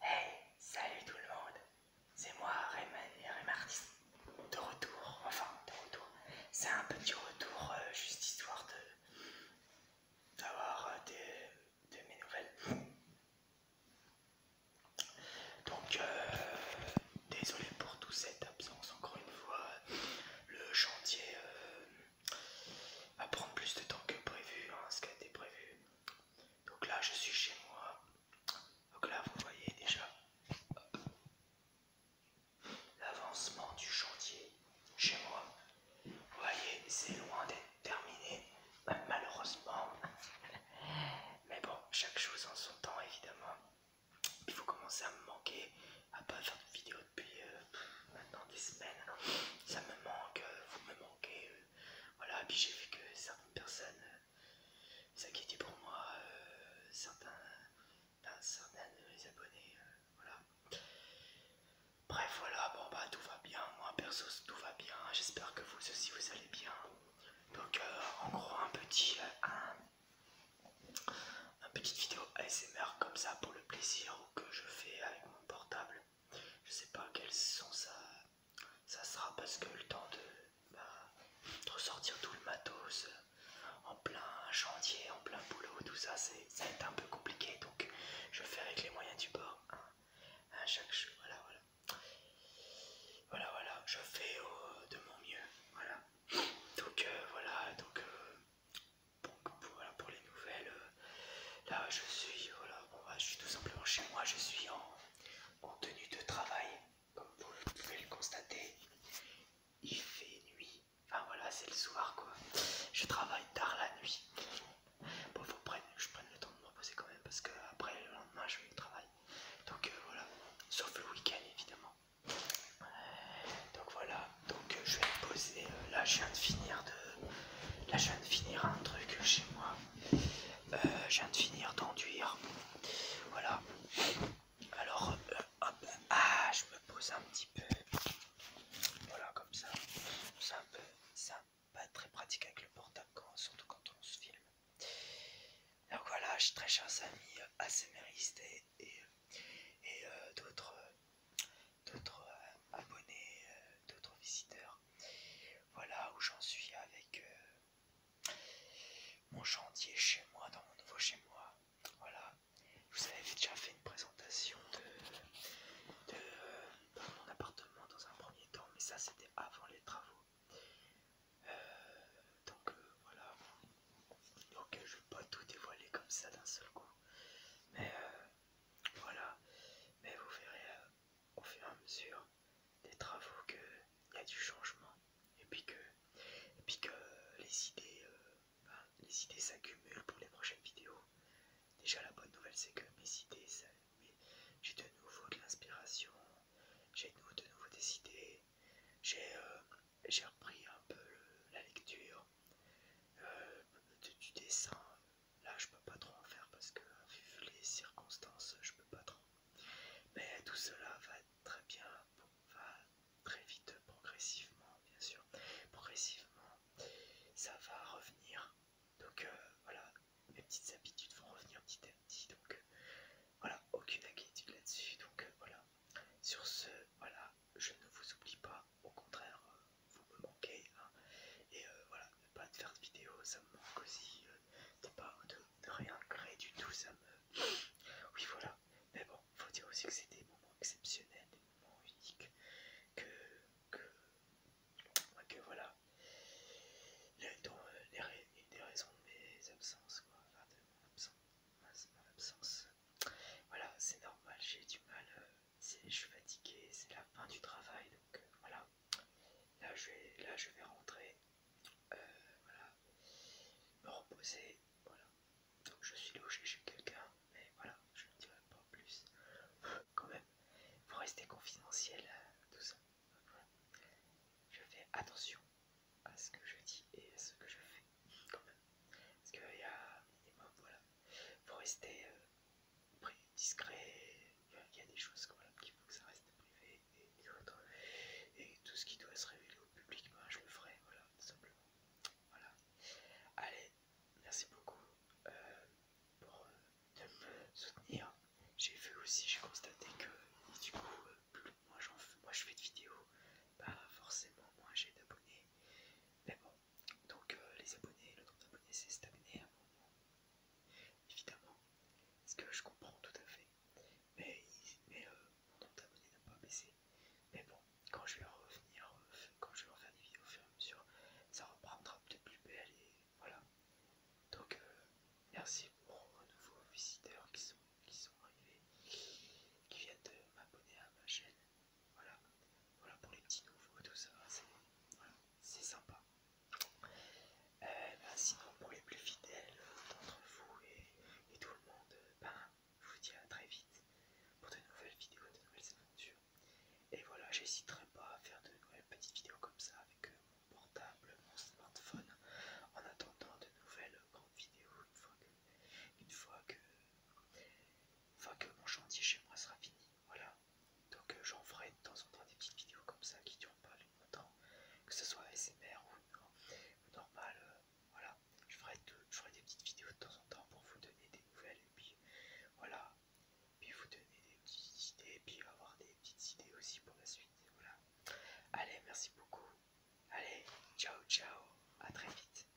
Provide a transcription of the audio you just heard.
Hey, salut tout le monde, c'est moi Rayman et Raymartis, de retour, enfin de retour, c'est un petit retour euh, juste histoire de d'avoir euh, des, de mes nouvelles. Donc euh, désolé pour toute cette absence, encore une fois, le chantier va prendre plus de temps que prévu, hein, ce qui a été prévu. Donc là, je suis chez moi. Donc là, vous voyez déjà euh, l'avancement du chantier chez moi. Vous voyez, c'est loin d'être terminé, malheureusement. Mais bon, chaque chose en son temps, évidemment. Il faut commencer à me manquer, à pas faire de vidéo depuis euh, maintenant des semaines. Ça me manque, euh, vous me manquez, voilà, puis j'ai vu que certaines personnes s'inquiétaient euh, pour moi, euh, certains, ben, certains de mes abonnés, euh, voilà. Bref, voilà, bon bah tout va bien, moi perso tout va bien, j'espère que vous aussi vous allez bien. Donc en gros un petit, un, petite vidéo ASMR comme ça pour le plaisir que je fais avec mon portable je sais pas quelle sont ça, ça sera parce que le temps de, bah, ressortir tout le matos euh, en plein chantier, en plein boulot, tout ça, c'est, ça va être un peu compliqué donc je fais avec les moyens du bord. Hein, à chaque voilà, voilà. Voilà, voilà, je fais de mon mieux. Voilà, donc euh, voilà, donc, euh, pour, les nouvelles là je suis, voilà, bah, je suis tout simplement chez moi, je suis en, tenue de travail, comme vous pouvez le constater. Il fait nuit, enfin voilà, c'est le soir quoi. Je travaille tard la nuit. Bon, faut prendre, je prenne le temps de me reposer quand même parce que après le lendemain je vais au travail. Donc euh, voilà, sauf le week-end évidemment. Donc voilà, donc euh, je vais me poser. Euh, là, je viens de finir de Là, je viens de finir un truc chez moi. Euh, je viens de finir d'enduire. Voilà. Alors, euh, ah, je me pose un petit peu. Voilà, comme ça. C'est un peu. Ça pas très pratique avec le portable, surtout quand on se filme. Donc voilà, très chers amis, euh, ASMRistes et, et, d'autres d'autres euh, abonnés, euh, d'autres visiteurs. Voilà où j'en suis avec euh, mon chantier chez moi, dans mon nouveau chez moi. Voilà, je vous avais déjà fait une présentation de, mon appartement dans un premier temps, mais ça c'était avant les travaux. donc voilà, donc je vais pas tout dévoiler comme ça d'un seul coup, mais voilà, mais vous verrez euh, au fur et à mesure des travaux qu'il y a du changement et puis que, puis que euh, les idées euh, ben, les idées s'accumulent pour les prochaines vidéos. Déjà la bonne nouvelle c'est que mes idées, j'ai de nouveau de l'inspiration, j'ai de nouveau des idées, j'ai repris un peu la lecture, euh, du, dessin, là je peux pas trop en faire parce que vu les circonstances, je peux pas trop. Mais tout cela va très bien, va très vite, progressivement, bien sûr. Progressivement, ça va revenir. Donc euh, voilà, mes petites habitudes vont revenir petit à petit. Donc euh, voilà, aucune inquiétude là-dessus. Donc voilà. Sur ce, voilà, je ne vous oublie pas au contraire, euh, vous me manquez. Hein. Et euh, voilà, ne pas faire de vidéo, ça me manque aussi. Euh, pas de, rien créer du tout, ça me. Oui, voilà. Mais bon, faut dire aussi que c'est des moments exceptionnels, des moments uniques. Que. que, voilà. Les, des raisons de mes absences, quoi. Enfin, de mon absence. Voilà, c'est normal, j'ai du mal je suis fatigué, c'est la fin du travail, donc euh, voilà. Là je vais, là, je vais rentrer, euh, voilà, me reposer, voilà. Donc je suis logé chez quelqu'un, mais voilà, je ne dirai pas plus. Quand même, pour rester confidentiel, euh, tout ça. Je fais attention à ce que je dis et à ce que je fais, quand même. Parce qu'il y a un minimum, voilà. pour rester prix discret, il y a des choses qu'il faut que ça reste privé et, tout ce qui doit se révéler au public, ben, je le ferai, voilà, tout simplement. Voilà. Allez, merci beaucoup euh, pour euh, de me soutenir. J'ai vu aussi, j'ai constaté que du coup, euh, plus moi, moi je fais de vidéos, pas forcément moins j'ai d'abonnés. Mais bon, donc euh, les abonnés, le nombre d'abonnés s'est stagné à un moment, évidemment, ce que je comprends tout à fait, mais, euh, mon nombre d'abonnés n'a pas baissé. Mais bon, quand je vais revenir, euh, quand je vais refaire des vidéos au ça reprendra peut-être plus belle et voilà. Donc merci pour nos nouveaux visiteurs qui sont, qui sont arrivés, qui viennent de m'abonner à ma chaîne. Voilà, voilà pour les petits nouveaux, tout ça, c'est sympa. Euh, bah, sinon, pour les plus fidèles euh, d'entre vous et, tout le monde, ben, je vous dis à très vite pour de nouvelles vidéos, de nouvelles aventures. Et voilà, j'hésiterai pas à faire de nouvelles petites vidéos comme ça avec mon portable, mon smartphone, en attendant de nouvelles grandes vidéos une fois une fois que mon chantier chez moi sera fini. Voilà. Donc euh, j'en ferai de temps en temps des petites vidéos comme ça qui durent pas longtemps, que ce soit SMR ou, normal. Euh, voilà. Je ferai, je ferai des petites vidéos de temps en temps pour vous donner des nouvelles et puis voilà. Puis vous donner des petites idées et puis avoir des petites idées aussi pour la suite. Voilà. Allez, merci beaucoup. Allez, ciao ciao, à très vite.